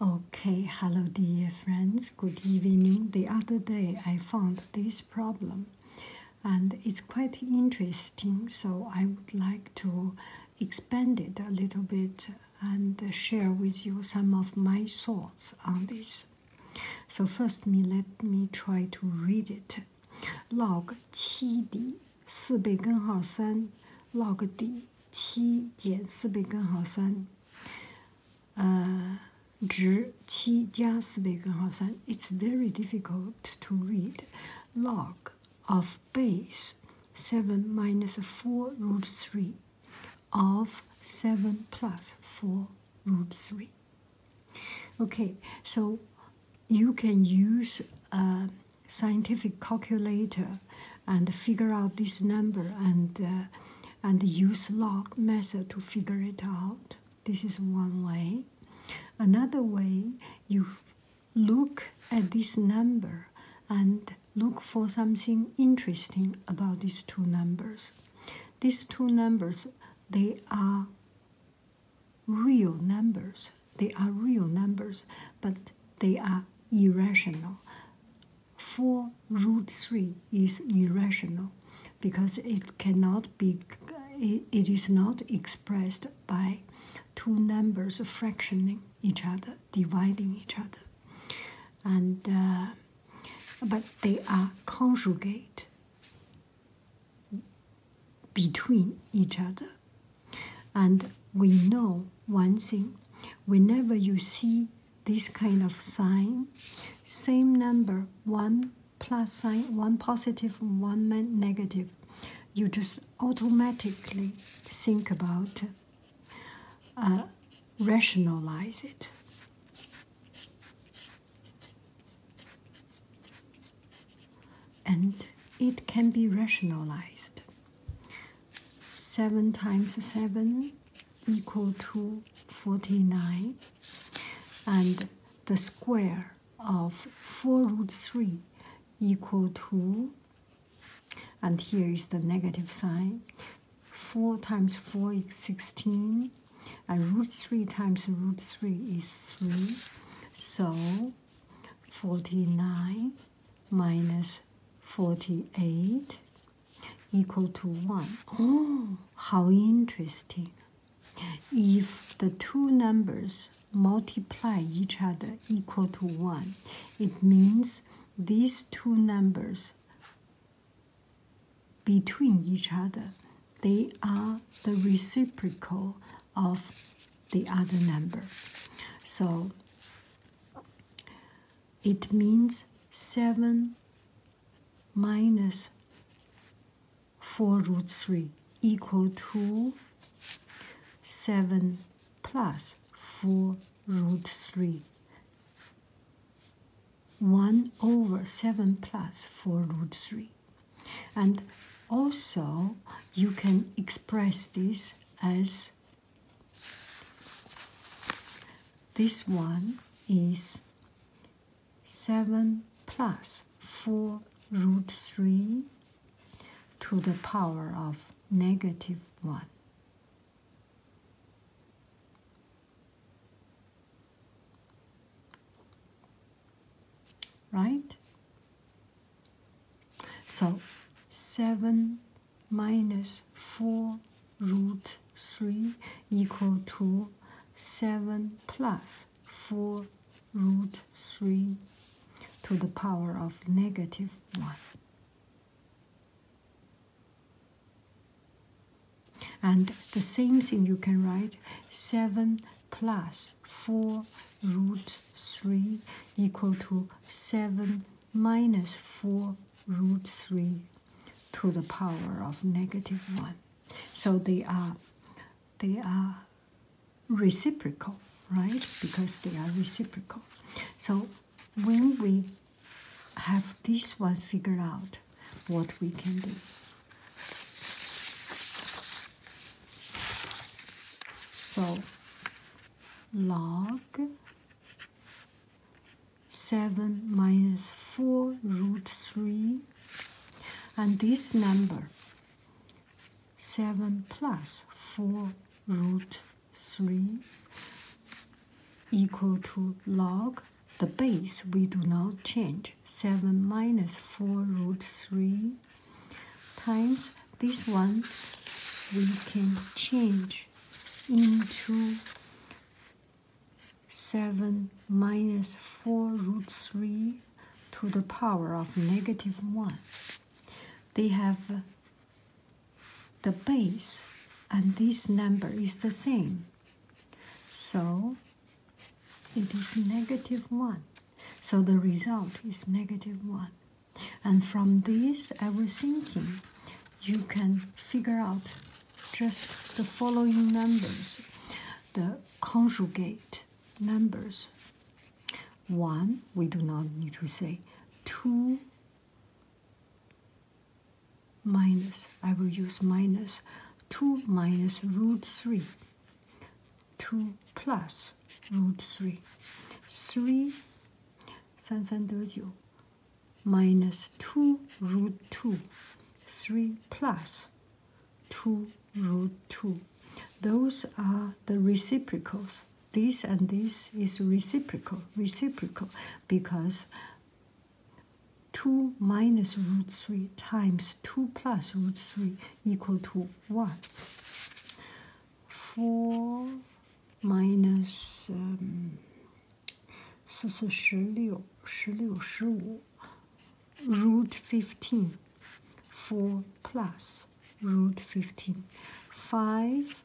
Okay, hello dear friends, good evening. The other day I found this problem and it's quite interesting, so I would like to expand it a little bit and share with you some of my thoughts on this. So first me let me try to read it. log 7D 四倍根号3 log d it's very difficult to read log of base seven minus four root three of seven plus four root three. Okay, so you can use. Uh, scientific calculator and figure out this number and uh, and use log method to figure it out. This is one way. Another way you look at this number and look for something interesting about these two numbers. These two numbers they are real numbers. They are real numbers, but they are irrational. 4 root 3 is irrational because it cannot be, it is not expressed by two numbers fractioning each other, dividing each other. And uh, but they are conjugate between each other and we know one thing whenever you see this kind of sign, same number, one plus sign, one positive, one negative, you just automatically think about, uh, rationalize it. And it can be rationalized. 7 times 7 equal to 49 and the square of 4 root 3 equal to and here is the negative sign 4 times 4 is 16 and root 3 times root 3 is 3 so 49 minus 48 equal to 1. Oh, how interesting. If the two numbers multiply each other equal to 1, it means these two numbers between each other, they are the reciprocal of the other number. So it means 7 minus 4 root 3 equal to 7 plus 4 root 3. 1 over 7 plus 4 root 3 and also you can express this as this one is 7 plus 4 root 3 to the power of negative 1 right? So 7 minus 4 root 3 equal to 7 plus 4 root 3 to the power of negative 1. And the same thing you can write 7 plus 4 root 3 equal to 7 minus 4 root 3 to the power of negative 1. So they are they are reciprocal, right? Because they are reciprocal. So when we have this one figured out, what we can do. So log 7 minus 4 root 3 and this number 7 plus 4 root 3 equal to log the base we do not change. 7 minus 4 root 3 times this one we can change into 7 minus 4 root 3 to the power of negative 1. They have the base and this number is the same. So it is negative 1. So the result is negative 1. And from this, I was thinking you can figure out just the following numbers the conjugate numbers. 1, we do not need to say. 2, minus, I will use minus 2 minus root 3, 2 plus root 3, 3, Three 三三得九 minus 2 root 2, 3 plus 2 root 2. Those are the reciprocals. This and this is reciprocal, reciprocal, because 2 minus root 3 times 2 plus root 3 equal to 1. 4 minus um, root 15 4 plus root 15 5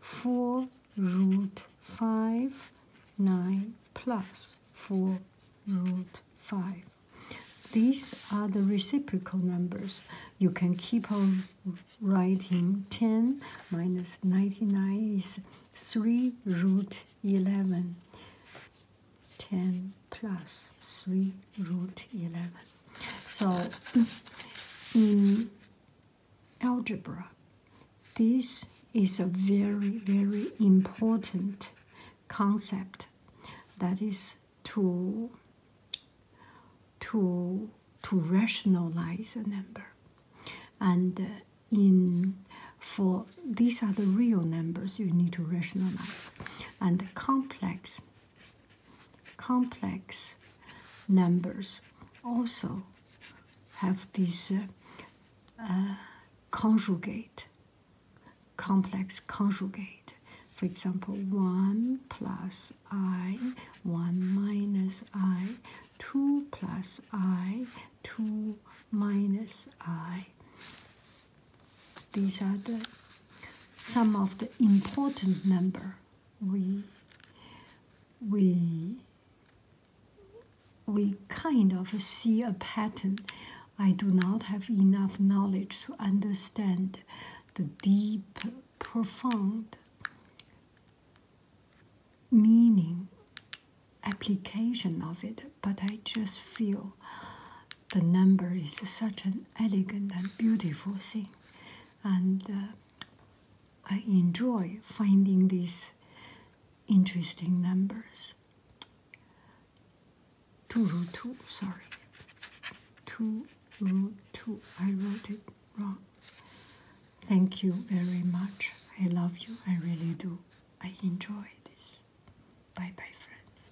4 root 5, 9 plus 4 root 5. These are the reciprocal numbers. You can keep on writing 10 minus 99 is 3 root 11. 10 plus 3 root 11. So in algebra. This is a very, very important concept that is to to to rationalize a number and uh, in for these are the real numbers you need to rationalize and the complex complex numbers also have these uh, uh, conjugate, complex conjugate. For example, 1 plus i, 1 minus i, 2 plus i, 2 minus i. These are the some of the important number we we we kind of see a pattern. I do not have enough knowledge to understand the deep, profound meaning application of it, but I just feel the number is such an elegant and beautiful thing and uh, I enjoy finding these interesting numbers. Two root two, sorry. Two root two. I wrote it wrong. Thank you very much. I love you. I really do. I enjoy this. Bye bye, friends.